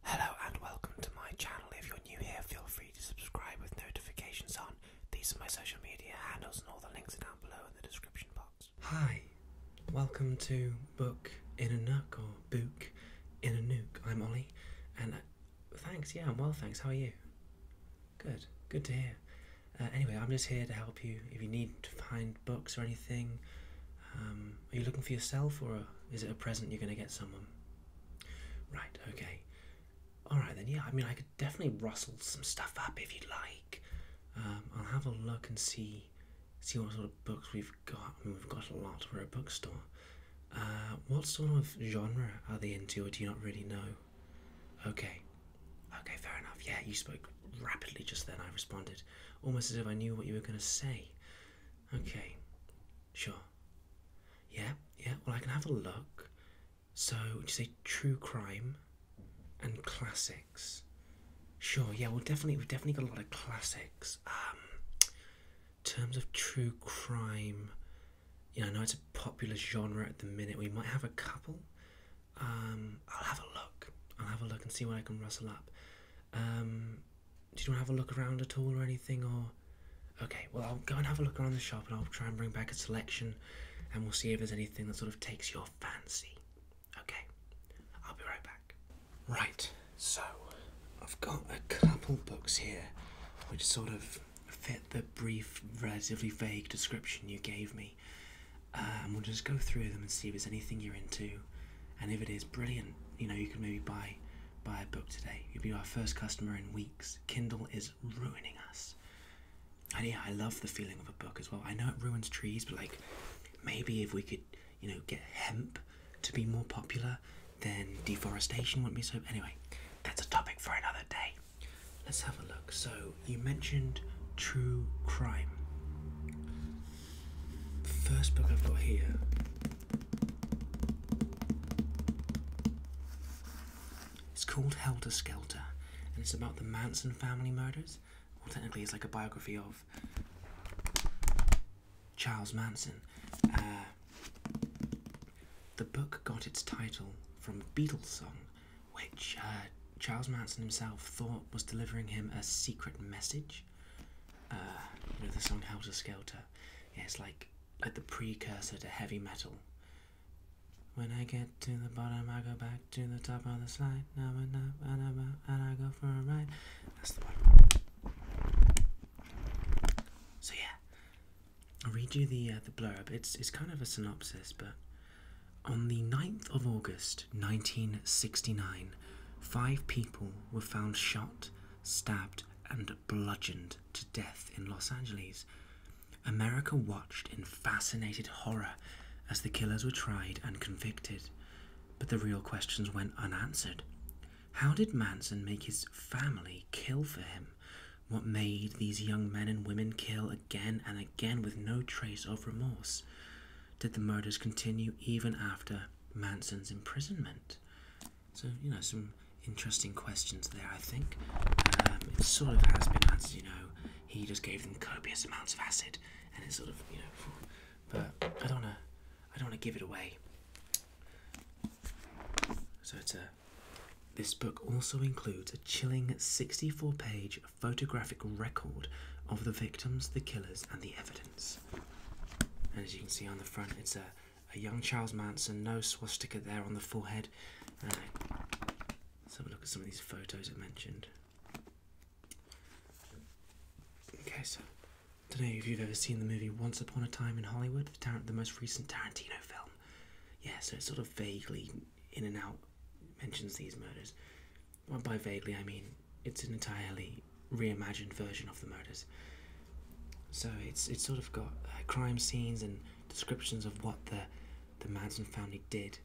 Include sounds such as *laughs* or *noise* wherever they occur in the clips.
Hello and welcome to my channel. If you're new here, feel free to subscribe with notifications on. These are my social media handles, and all the links are down below in the description box. Hi, welcome to Book in a Nook or Book in a Nook. I'm Ollie, and uh, thanks, yeah, I'm well, thanks. How are you? Good, good to hear. Uh, anyway, I'm just here to help you if you need to find books or anything. Um, are you looking for yourself, or is it a present you're going to get someone? right, okay. Alright then, yeah, I mean, I could definitely rustle some stuff up if you'd like. Um, I'll have a look and see see what sort of books we've got. I mean, we've got a lot. We're a bookstore. Uh, what sort of genre are they into, or do you not really know? Okay. Okay, fair enough. Yeah, you spoke rapidly just then. I responded, almost as if I knew what you were going to say. Okay. Sure. Yeah, yeah, well, I can have a look. So, would you say true crime and classics? Sure, yeah, well, definitely, we've definitely got a lot of classics. Um, terms of true crime, you I know it's a popular genre at the minute. We might have a couple. Um, I'll have a look. I'll have a look and see what I can rustle up. Um, do you want to have a look around at all or anything? Or okay, well I'll go and have a look around the shop and I'll try and bring back a selection, and we'll see if there's anything that sort of takes your fancy. Okay, I'll be right back. Right, so I've got a couple books here, which sort of fit the brief, relatively vague description you gave me. and um, we'll just go through them and see if there's anything you're into, and if it is brilliant you know you can maybe buy buy a book today you'll be our first customer in weeks kindle is ruining us and yeah i love the feeling of a book as well i know it ruins trees but like maybe if we could you know get hemp to be more popular then deforestation wouldn't be so anyway that's a topic for another day let's have a look so you mentioned true crime the first book I've got here it's called Helter Skelter and it's about the Manson family murders. Well, technically, it's like a biography of Charles Manson. Uh, the book got its title from a Beatles song, which uh, Charles Manson himself thought was delivering him a secret message. Uh, you know, the song Helter Skelter it's like like the precursor to heavy metal. When I get to the bottom, I go back to the top of the slide. Now and up and up and I go for a ride. That's the one. So yeah, I'll read you the uh, the blurb. It's it's kind of a synopsis, but on the 9th of August, 1969, five people were found shot stabbed, and bludgeoned to death in Los Angeles. America watched in fascinated horror as the killers were tried and convicted. But the real questions went unanswered. How did Manson make his family kill for him? What made these young men and women kill again and again with no trace of remorse? Did the murders continue even after Manson's imprisonment? So, you know, some interesting questions there, I think. Um, it sort of has been answered, you know, he just gave them copious amounts of acid, and it sort of, you know, but I don't wanna, I don't wanna give it away. So it's a, this book also includes a chilling 64-page photographic record of the victims, the killers, and the evidence. And as you can see on the front, it's a a young Charles Manson, no swastika there on the forehead. let's have a look at some of these photos I mentioned. Okay, so I don't know if you've ever seen the movie Once Upon a Time in Hollywood, the, most recent Tarantino film. Yeah, so it sort of vaguely in and out mentions these murders. Well, by vaguely, I mean it's an entirely reimagined version of the murders. So it's it's sort of got uh, crime scenes and descriptions of what the the Manson family did.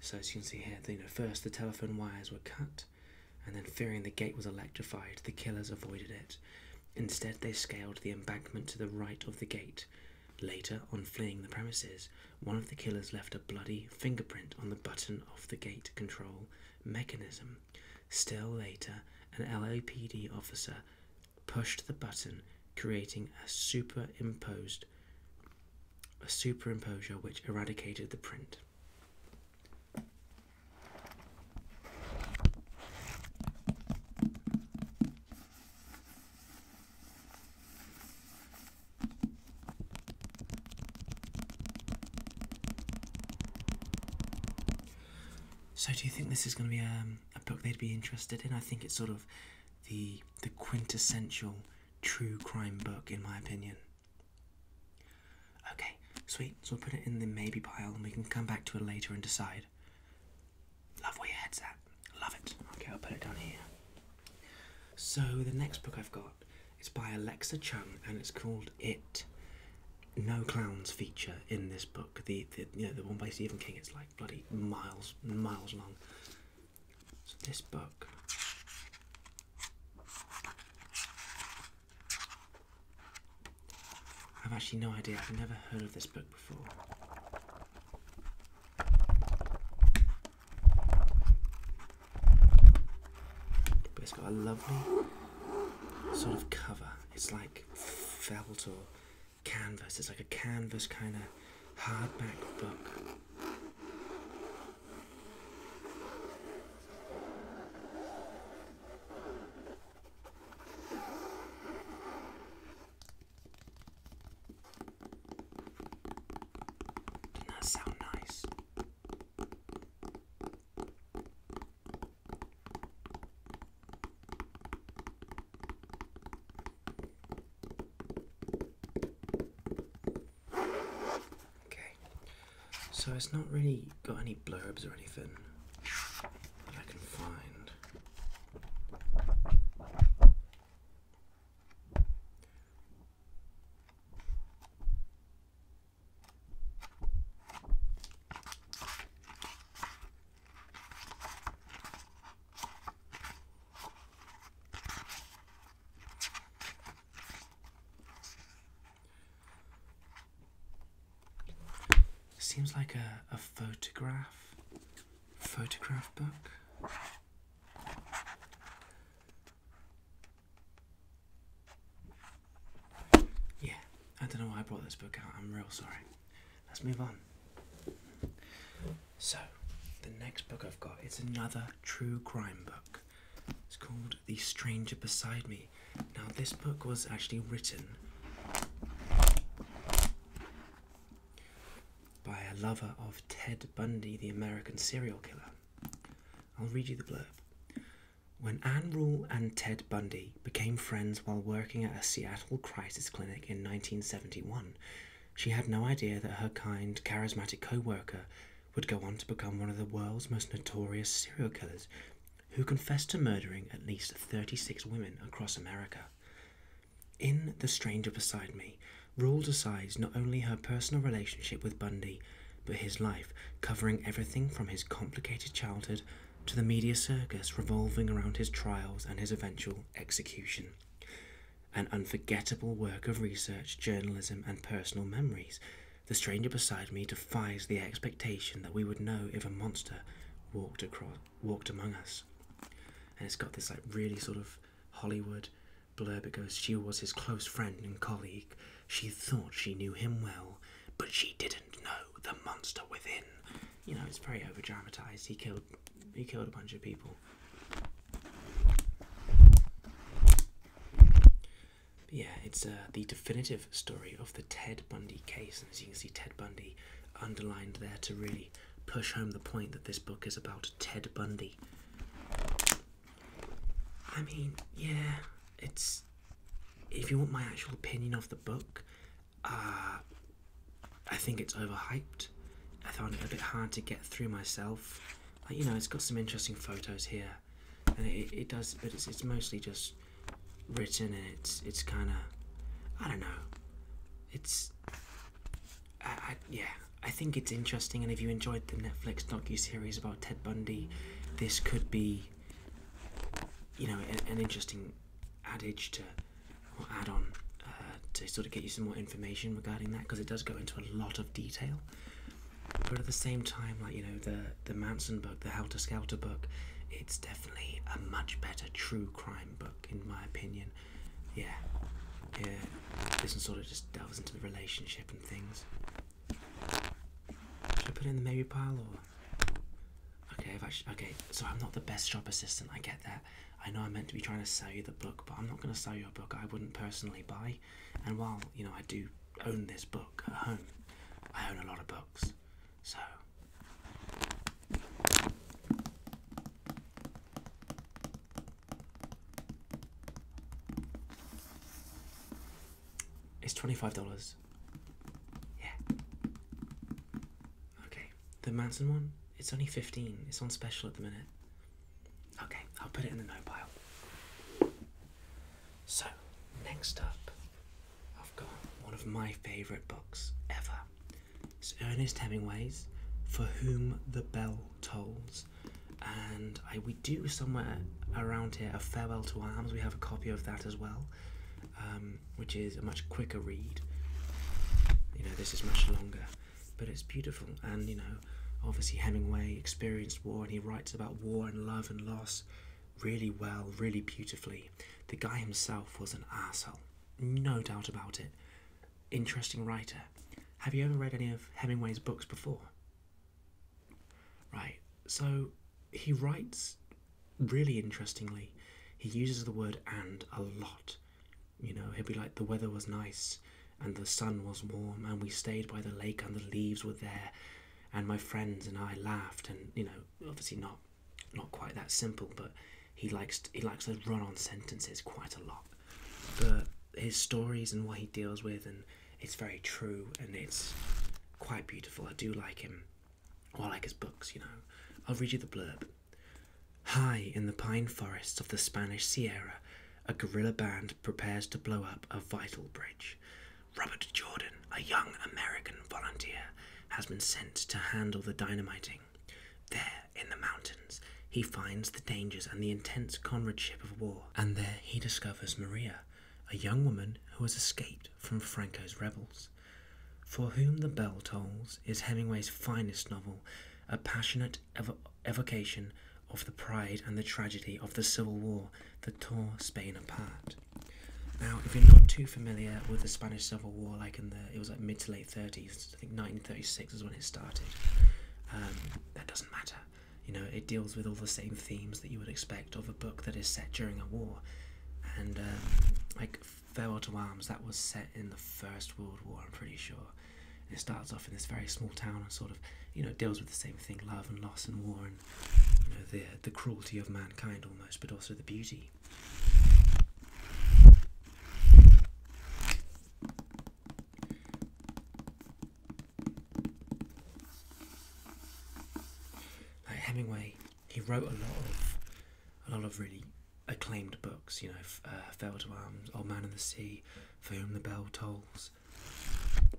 So as you can see here, you know, first the telephone wires were cut, and then fearing the gate was electrified, the killers avoided it. Instead, they scaled the embankment to the right of the gate. Later, on fleeing the premises, one of the killers left a bloody fingerprint on the button off the gate control mechanism. Still later, an LAPD officer pushed the button, creating a superimposed a superimposure which eradicated the print. So, do you think this is going to be um, a book they'd be interested in? I think it's sort of the the quintessential true crime book, in my opinion. Okay, sweet. So we'll put it in the maybe pile, and we can come back to it later and decide. Love where your head's at. Love it. Okay, I'll put it down here. So the next book I've got is by Alexa Chung, and it's called It no clowns feature in this book. The, the you know the one by Stephen King it's like bloody miles miles long. So this book I've actually no idea, I've never heard of this book before. But it's got a lovely sort of cover. It's like felt or canvas. It's like a canvas kind of hardback book. Doesn't that sound nice? Okay, so it's not really got any blurbs or anything that I can find. Seems like a, a photograph, photograph book. Yeah, I don't know why I brought this book out. I'm real sorry. Let's move on. So, the next book I've got is another true crime book. It's called The Stranger Beside Me. Now, this book was actually written by a lover of Ted Bundy, the American serial killer. I'll read you the blurb. When Anne Rule and Ted Bundy became friends while working at a Seattle crisis clinic in 1971, she had no idea that her kind, charismatic co worker would go on to become one of the world's most notorious serial killers who confessed to murdering at least 36 women across America. In The Stranger Beside Me, Rule decides not only her personal relationship with Bundy, but his life, covering everything from his complicated childhood to the media circus revolving around his trials and his eventual execution. An unforgettable work of research, journalism, and personal memories. The stranger beside me defies the expectation that we would know if a monster walked across, walked among us. And it's got this like really sort of Hollywood blurb. because "She was his close friend and colleague. She thought she knew him well, but she didn't." no, the monster within. You know, it's very over dramatized. He killed he killed a bunch of people. yeah, it's uh, the definitive story of the Ted Bundy case, and as you can see, Ted Bundy underlined there to really push home the point that this book is about Ted Bundy. I mean, yeah, it's if you want my actual opinion of the book, uh, I think it's overhyped. I found it a bit hard to get through myself. you know, it's got some interesting photos here, and it, does, but it's, mostly just written, and it's it's kind of, I don't know, it's, yeah, I think it's interesting. And if you enjoyed the Netflix docu series about Ted Bundy, this could be you know, an, interesting adage to add on uh, to sort of get you some more information regarding that because it does go into a lot of detail. But at the same time, like you know, the the Manson book, the Helter Skelter book, it's definitely a much better true crime book in my opinion. Yeah, yeah. This one sort of just delves into the relationship and things. Should I put it in the maybe pile or? Okay, okay, so I'm not the best shop assistant, I get that. I know I'm meant to be trying to sell you the book, but I'm not going to sell you a book I wouldn't personally buy. And while, you know, I do own this book at home, I own a lot of books. So. It's $25. Yeah. Okay. The Manson one, it's only 15. It's on special at the minute. Okay, I'll put it in the no pile. So, next up, I've got one of my favourite books ever. It's Ernest Hemingway's For Whom the Bell Tolls. And we do somewhere around here a Farewell to Arms. We have a copy of that as well, um, which is a much quicker read. You know, this is much longer, but it's beautiful. And you know, obviously Hemingway experienced war, and he writes about war and love and loss really well, really beautifully. The guy himself was an asshole, no doubt about it. Interesting writer. Have you ever read any of Hemingway's books before? Right, so he writes really interestingly. He uses the word and a lot. You know, he'll be like, the weather was nice and the sun was warm and we stayed by the lake and the leaves were there and my friends and I laughed and you know obviously not not quite that simple but he likes he likes those run-on sentences quite a lot but his stories and what he deals with and it's very true and it's quite beautiful. I do like him. Or I like his books, you know. I'll read you the blurb. High in the pine forests of the Spanish Sierra, a guerrilla band prepares to blow up a vital bridge. Robert Jordan, a young American volunteer, has been sent to handle the dynamiting. There, in the mountains, he finds the dangers and the intense comradeship of war, and there he discovers Maria, a young woman who has escaped from Franco's rebels. For Whom the Bell Tolls is Hemingway's finest novel, a passionate evocation of the pride and the tragedy of the Civil War that tore Spain apart. Now, if you're not too familiar with the Spanish Civil War, like in the it was like mid to late 30s, I think 1936 is when it started. Um, that doesn't matter. You know, it deals with all the same themes that you would expect of a book that is set during a war, and um, like Farewell to Arms, that was set in the First World War, I'm pretty sure. it starts off in this very small town and sort of, you know, deals with the same thing: love and loss and war and you know, the the cruelty of mankind almost, but also the beauty like Hemingway, he wrote a lot of a lot of really acclaimed books. You know, uh, Fell to Arms, Old Man and the Sea, For Whom the Bell Tolls.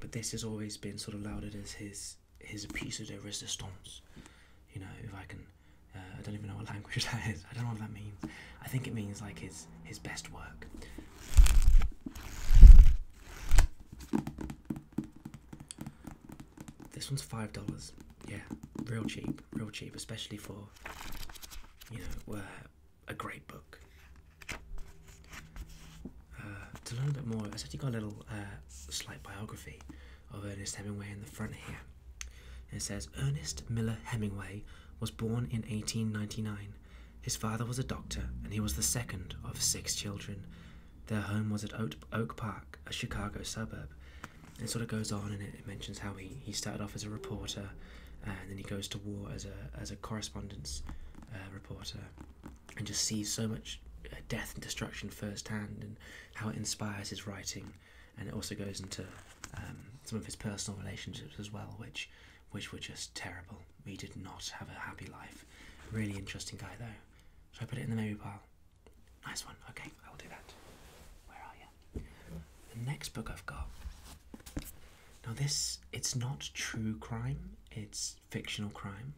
But this has always been sort of lauded as his his piece de resistance. You know, if I can, uh, I don't even know what *laughs* language that is. I don't know what that means. I think it means like his his best work. This one's five dollars. Yeah, real cheap, real cheap, especially for you know uh, a great book. Uh, to learn a bit more, i it's actually got a little uh, slight biography of Ernest Hemingway in the front here. And it says Ernest Miller Hemingway was born in 1899. His father was a doctor, and he was the second of six children. Their home was at Oak Park, a Chicago suburb. it sort of goes on and it mentions how he, he started off as a reporter and then he goes to war as a, as a correspondence uh, reporter and just sees so much uh, death and destruction firsthand and how it inspires his writing. And it also goes into um, some of his personal relationships as well, which, which were just terrible. He did not have a happy life. Really interesting guy, though. Should I put it in the maybe pile? Nice one. Okay, I will do that. Where are you? The next book I've got. Now this, it's not true crime. It's fictional crime.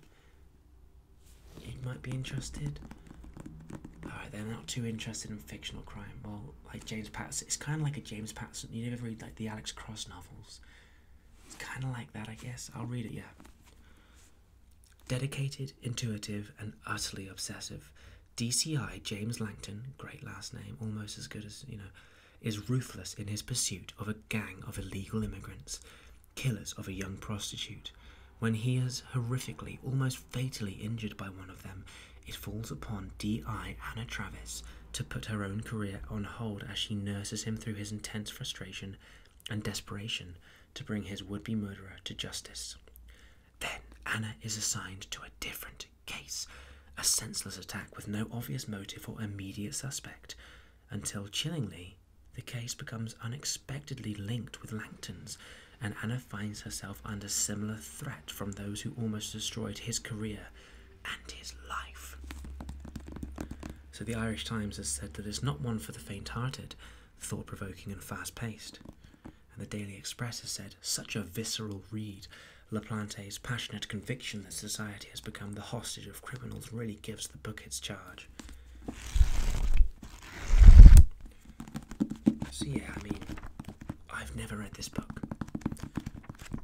You might be interested. Alright, they're not too interested in fictional crime. Well, like James Patterson, it's kind of like a James Patterson. You ever read like the Alex Cross novels. It's kind of like that, I guess. I'll read it, yeah. Dedicated, intuitive, and utterly obsessive, DCI James Langton, great last name, almost as good as, you know, is ruthless in his pursuit of a gang of illegal immigrants, killers of a young prostitute. When he is horrifically, almost fatally injured by one of them, it falls upon DI Anna Travis to put her own career on hold as she nurses him through his intense frustration and desperation to bring his would be murderer to justice. Then Anna is assigned to a different case a senseless attack with no obvious motive or immediate suspect until chillingly the case becomes unexpectedly linked with Langton's, and Anna finds herself under similar threat from those who almost destroyed his career and his life so the Irish Times has said that it's not one for the faint hearted, thought provoking and fast paced. And the Daily Express has said, such a visceral read. LaPlante's passionate conviction that society has become the hostage of criminals really gives the book its charge. See, I mean, I've never read this book.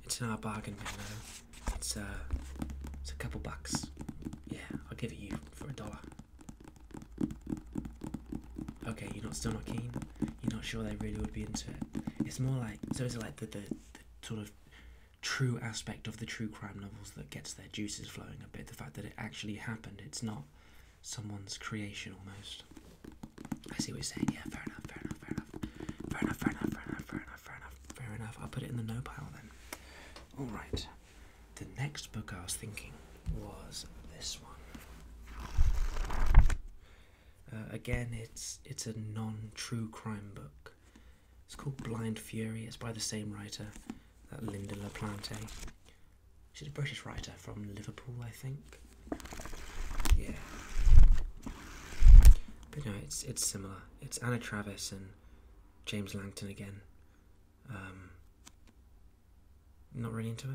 It's not a bargain bin, though. It's uh, it's a couple bucks. Yeah, I'll give it you for a dollar. Okay, you're not still not keen. You're not sure they really would be into it. It's more like so. Is it like the, the the sort of true aspect of the true crime novels that gets their juices flowing a bit? The fact that it actually happened. It's not someone's creation almost. I see what you're saying. Yeah, fair enough. Fair enough. Fair enough. Fair enough. Fair enough. Fair enough. Fair enough. Fair enough. Fair enough. I'll put it in the no pile then. All right. The next book I was thinking was this one. Uh, again, it's it's a non-true crime book. It's called Blind Fury. It's by the same writer, that Linda LaPlante. She's a British writer from Liverpool, I think. Yeah. But no, it's it's similar. It's Anna Travis and James Langton again. Um, not really into it.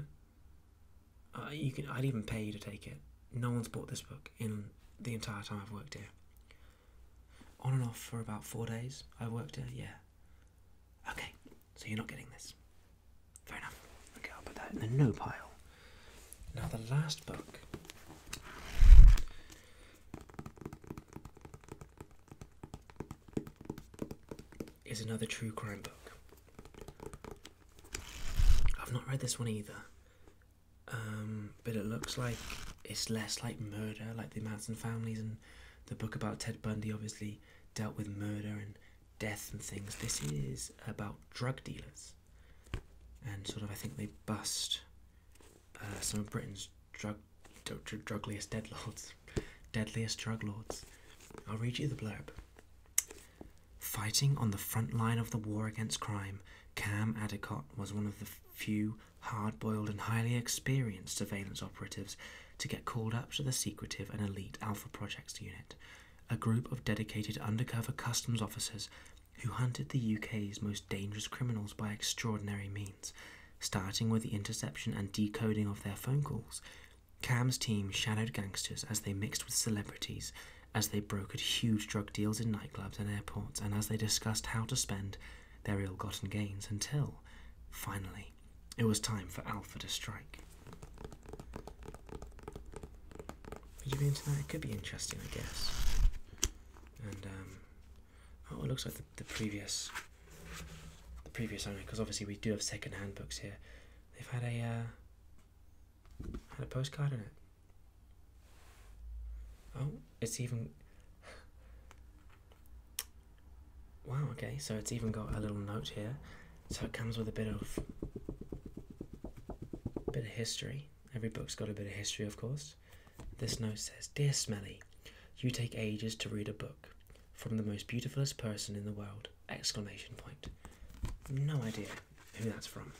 Uh, you can. I'd even pay you to take it. No one's bought this book in the entire time I've worked here. On and off for about four days. I worked here. Yeah. Okay. So you're not getting this. Fair enough. Okay, I'll put that in the no pile. Now the last book is another true crime book. I've not read this one either, um, but it looks like it's less like murder, like the Manson families and the book about Ted Bundy obviously dealt with murder and death and things. This is about drug dealers and sort of, I think they bust uh, some of Britain's drug, drug drugliest deadlords, deadliest drug lords. I'll read you the blurb. Fighting on the front line of the war against crime, Cam Adicott was one of the few hard-boiled and highly experienced surveillance operatives to get called up to the secretive and elite Alpha Projects Unit, a group of dedicated undercover customs officers who hunted the UK's most dangerous criminals by extraordinary means starting with the interception and decoding of their phone calls. Cam's team shadowed gangsters as they mixed with celebrities, as they brokered huge drug deals in nightclubs and airports, and as they discussed how to spend their ill gotten gains until, finally, it was time for Alpha to strike. could be interesting, I guess. And, um, Oh, it looks like the, previous the previous owner, because obviously we do have second-hand books here. They've had a uh, had a postcard in it. Oh, it's even. Wow. Okay, so it's even got a little note here. So it comes with a bit of bit of history. Every book's got a bit of history, of course. This note says Dear Smelly, you take ages to read a book from the most beautifulest person in the world. Exclamation point. No idea who that's from.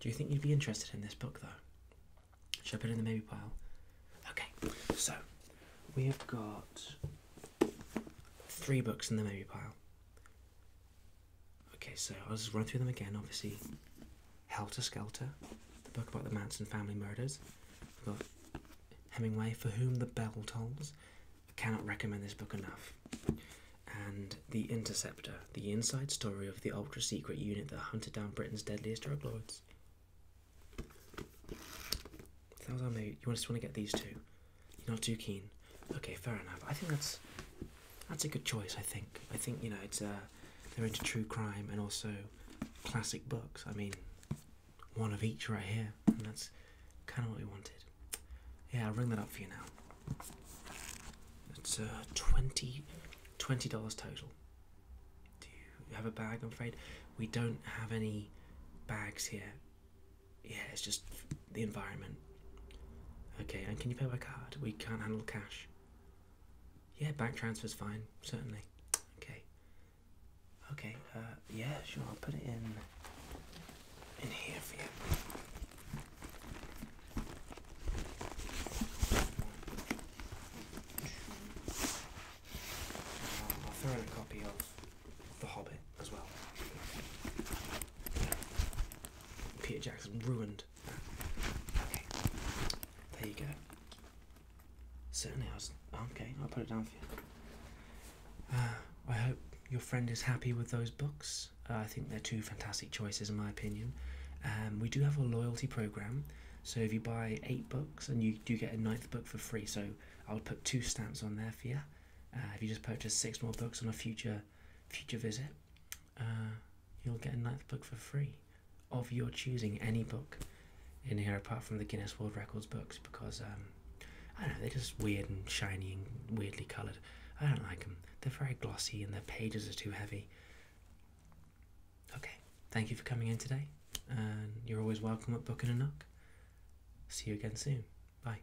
Do you think you'd be interested in this book though? Should I put it in the maybe pile? Okay, so we have got three books in the maybe pile. Okay, so I'll just run through them again. Obviously, Helter Skelter, the book about the Manson family murders. i have got Hemingway, For Whom the Bell Tolls. I cannot recommend this book enough. And The Interceptor, the inside story of the ultra secret unit that hunted down Britain's deadliest drug lords. Those are maybe you just want to get these two. You're not too keen. Okay, fair enough. I think that's that's a good choice. I think. I think you know it's uh, they're into true crime and also classic books. I mean, one of each right here, and that's kind of what we wanted. Yeah, I'll ring that up for you now. It's uh, 20 dollars total. Do you have a bag? I'm afraid we don't have any bags here yeah, it's just the environment. Okay, and can you pay by card? We can't handle cash. Yeah, bank transfer's fine, certainly. Okay. Okay, uh, yeah, sure, I'll put it in in here for you. I'll throw in a copy of the Hobbit as well. Peter Jackson ruined Okay, there you go. Certainly, I was. Okay, I'll put it down for you. Uh, I hope your friend is happy with those books. Uh, I think they're two fantastic choices, in my opinion. Um, we do have a loyalty program, so if you buy eight books and you do get a ninth book for free, so I'll put two stamps on there for you. Uh, if you just purchase six more books on a future future visit, uh, you'll get a ninth book for free of your choosing, any book in here apart from the Guinness World Records books because um, I don't know, they're just weird and shiny and weirdly coloured. I don't like them. They're very glossy and their pages are too heavy. Okay, thank you for coming in today, and you're always welcome at Book and a Nook. See you again soon. Bye.